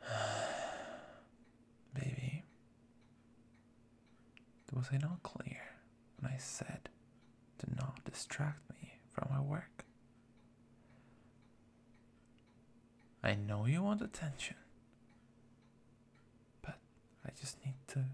Baby, was I not clear when I said to not distract me from my work? I know you want attention, but I just need to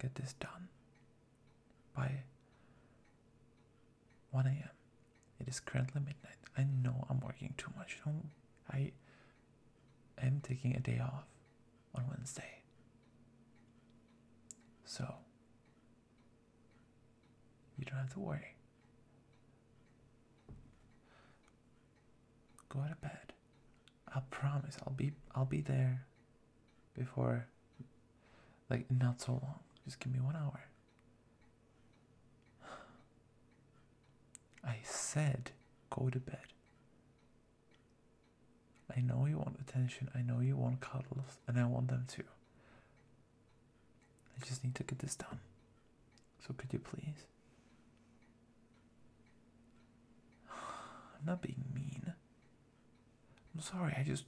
get this done Bye. 1 a.m. It is currently midnight. I know I'm working too much. Don't, I am taking a day off on Wednesday. So, you don't have to worry. Go to bed. I promise I'll be I'll be there before like not so long. Just give me one hour. I said go to bed. I know you want attention, I know you want cuddles, and I want them too. I just need to get this done. So could you please? I'm not being mean. I'm sorry, I just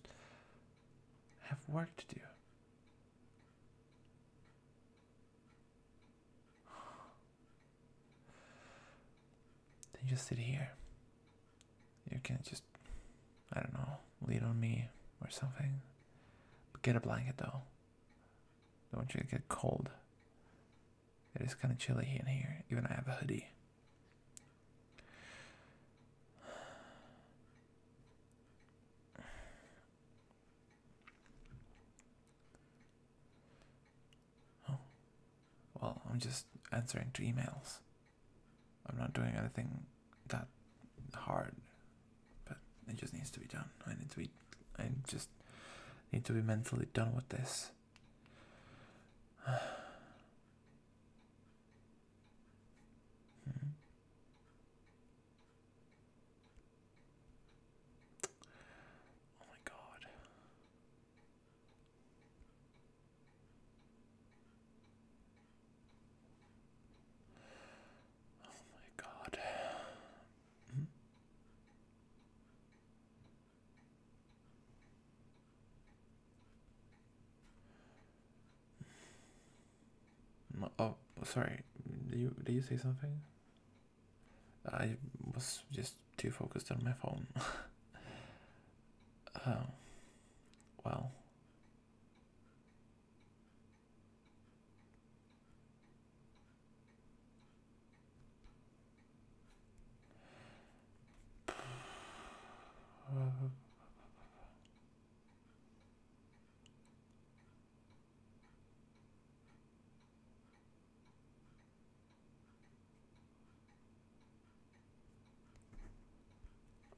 have work to do. Then just sit here. You can just, I don't know, lean on me or something. get a blanket though. Don't want you to get cold. It is kind of chilly in here. Even I have a hoodie. Oh. Well, I'm just answering to emails. I'm not doing anything that hard, but it just needs to be done. I need to be, I just need to be mentally done with this. Hmm. Oh my god. Oh my god. Hmm? Oh, sorry. Did you did you say something? I was just too focused on my phone. oh, well. Uh,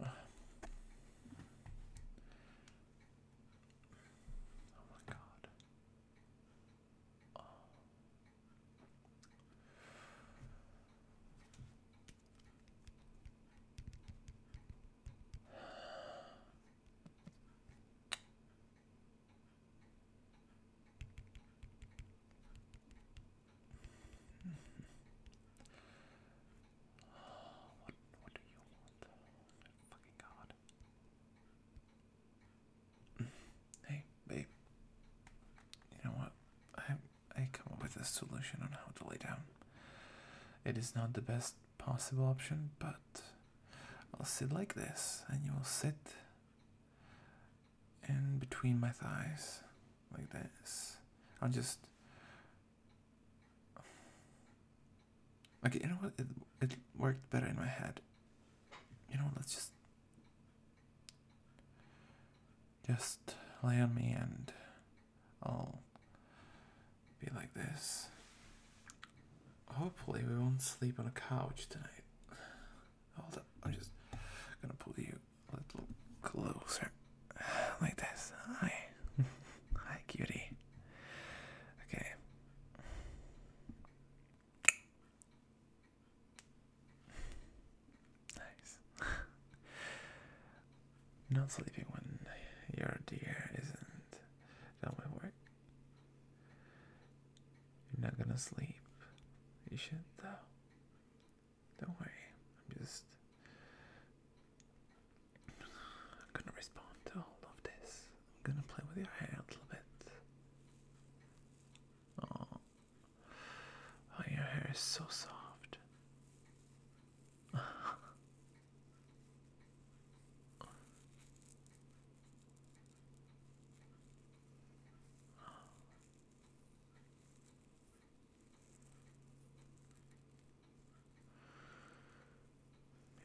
Oh my god. Oh what, do you want? fucking god. Hey, babe. You know what? I I come up with a solution on how to lay down. It is not the best possible option, but I'll sit like this, and you will sit in between my thighs, like this. I'll just. Okay, you know what? It, it worked better in my head. You know, let's just. Just lay on me and I'll oh, be like this. Hopefully, we won't sleep on a couch tonight. Hold up, I'm just gonna pull you a little closer. Like this. Hi. Hi, cutie. Okay. Nice. Not sleeping when your dear isn't done with work. You're not gonna sleep. You should though. Don't worry. I'm just I'm gonna respond to all of this. I'm gonna play with your hair a little bit. Oh, Oh, your hair is so soft. You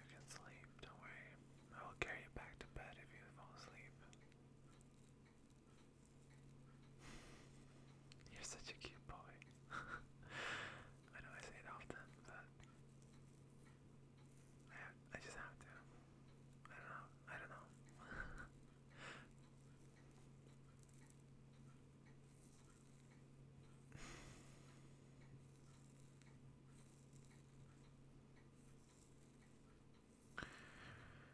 can sleep, don't worry. I will carry you back to bed if you fall asleep. You're such a cute boy. I know I say it often, but I I just have to. I don't know. I don't know.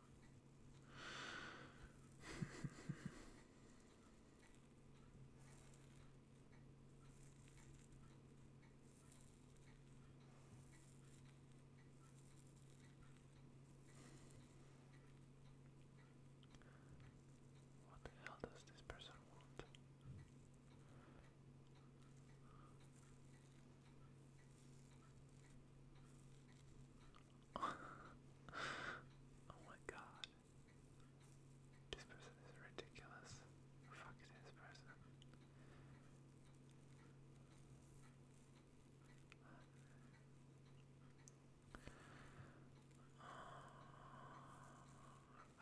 What the hell does this person want? oh my god. This person is ridiculous. Fuck this person. Oh,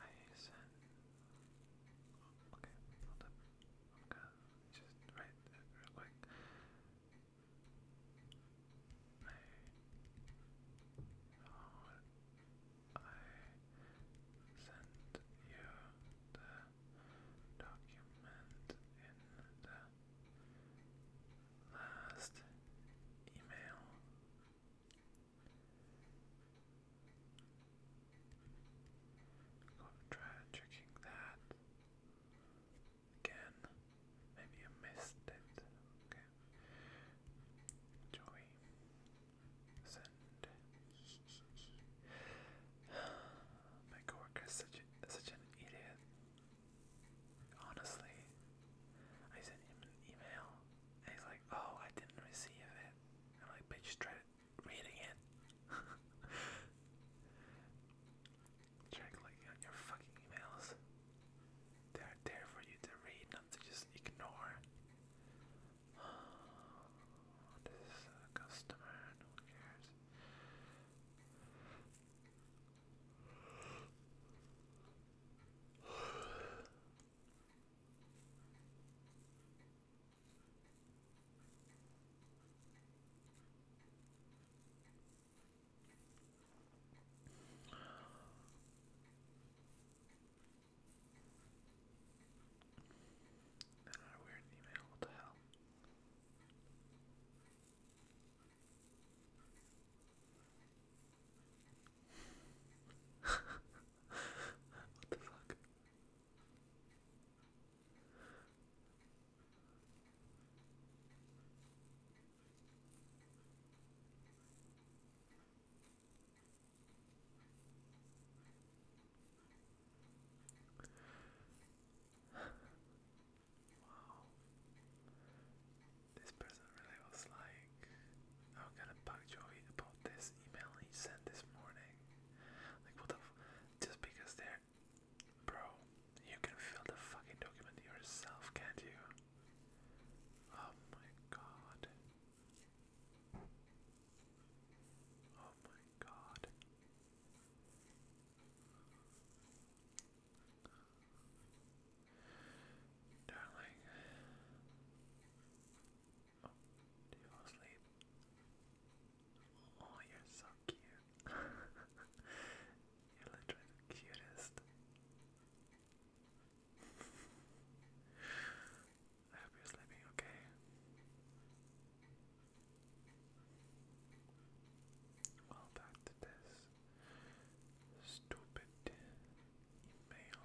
I sent. Okay, hold up. i just right real quick. I sent you the document in the last email. I'm try checking that again. Maybe I missed it. Joey. Send. My coworker is such, such an idiot. Honestly, I sent him an email and he's like, oh, I didn't receive it. And I'm like, reading it. Check like on your fucking emails. They're there for you to read, not to just ignore. this is a customer, no cares. That not weird email, what the hell? what the fuck? wow. This person really was like, I'm gonna bug Joey about this email he sent this morning. Like, what the f Just because they're. Bro, you can fill the fucking document yourself, can't you? Oh my god. Oh my god. Darling, Oh, you fall asleep? Oh, you're so cute. you're literally cutest. I hope you're sleeping okay. Well, back this stupid email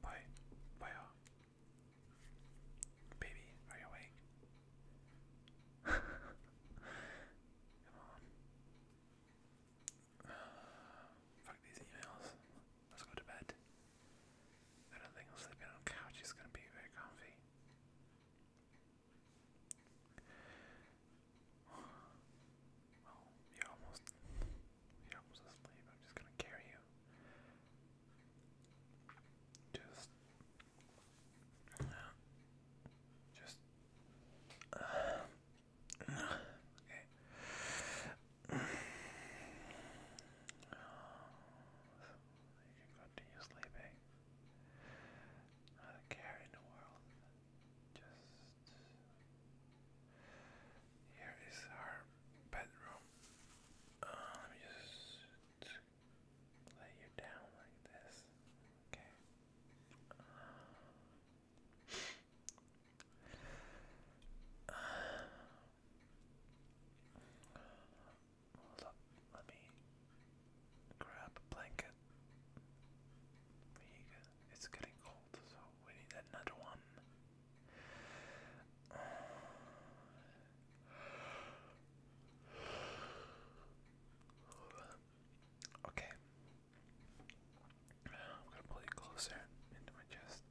Why? Why? Baby, are you awake? Come on. fuck these emails. Let's go to bed. I don't think sleeping on a couch is gonna be very comfy. Oh, you're almost you're almost asleep. I'm just gonna carry you. Just, just. okay. Oh, you can continue sleeping. Not care in the world. Just here is our bedroom. Uh, let me just lay you down like this. Okay. hold up. Let me grab a blanket. It's getting cold, so we need another one. okay. I'm gonna pull it closer into my chest.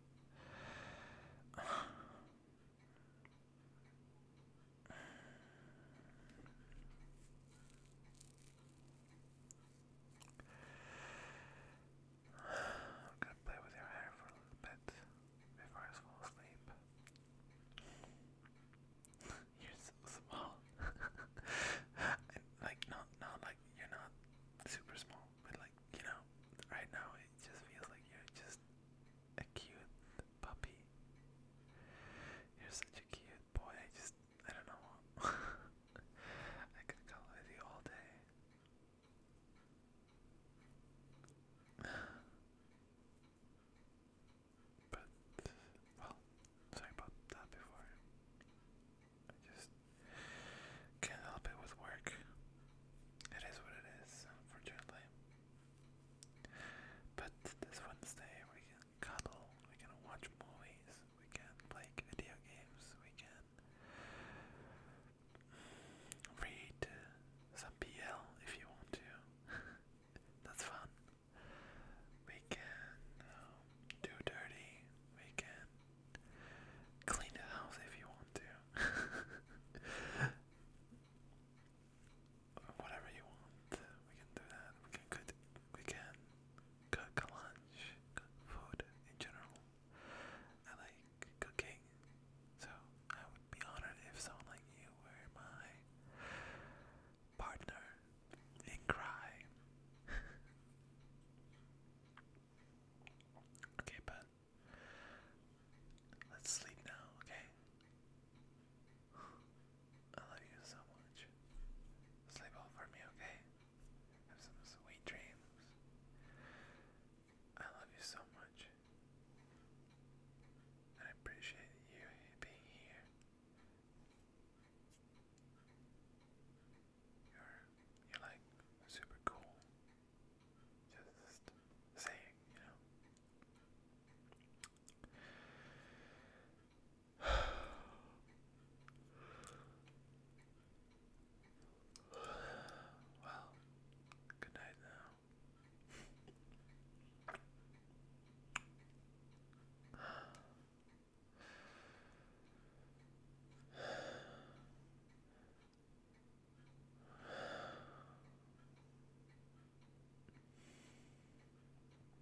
I'm gonna play with your hair for a little bit before I fall asleep. you're so small. like not not like you're not super small, but like, you know, right now it just feels like you're just a cute puppy. You're such a cute boy, I just, I don't know. I could color with you all day. But, well, sorry about that before. I just can't help it with work. It is what it is, unfortunately. But this Wednesday we can cuddle, we can watch movies, we can play video games, we can read some PL if you want to. That's fun. We can um, do dirty, we can clean the house if you want to. Whatever you want, we can do that. We can we can cook lunch, food in general. I like cooking, so I would be honored if someone like you were my partner in crime. okay, but let's sleep now, okay? I love you so much. Sleep well for me, okay? Have some sweet dreams. I love you so much. I appreciate you being here. You're, you're like super cool. Just saying, you know. well, good night now.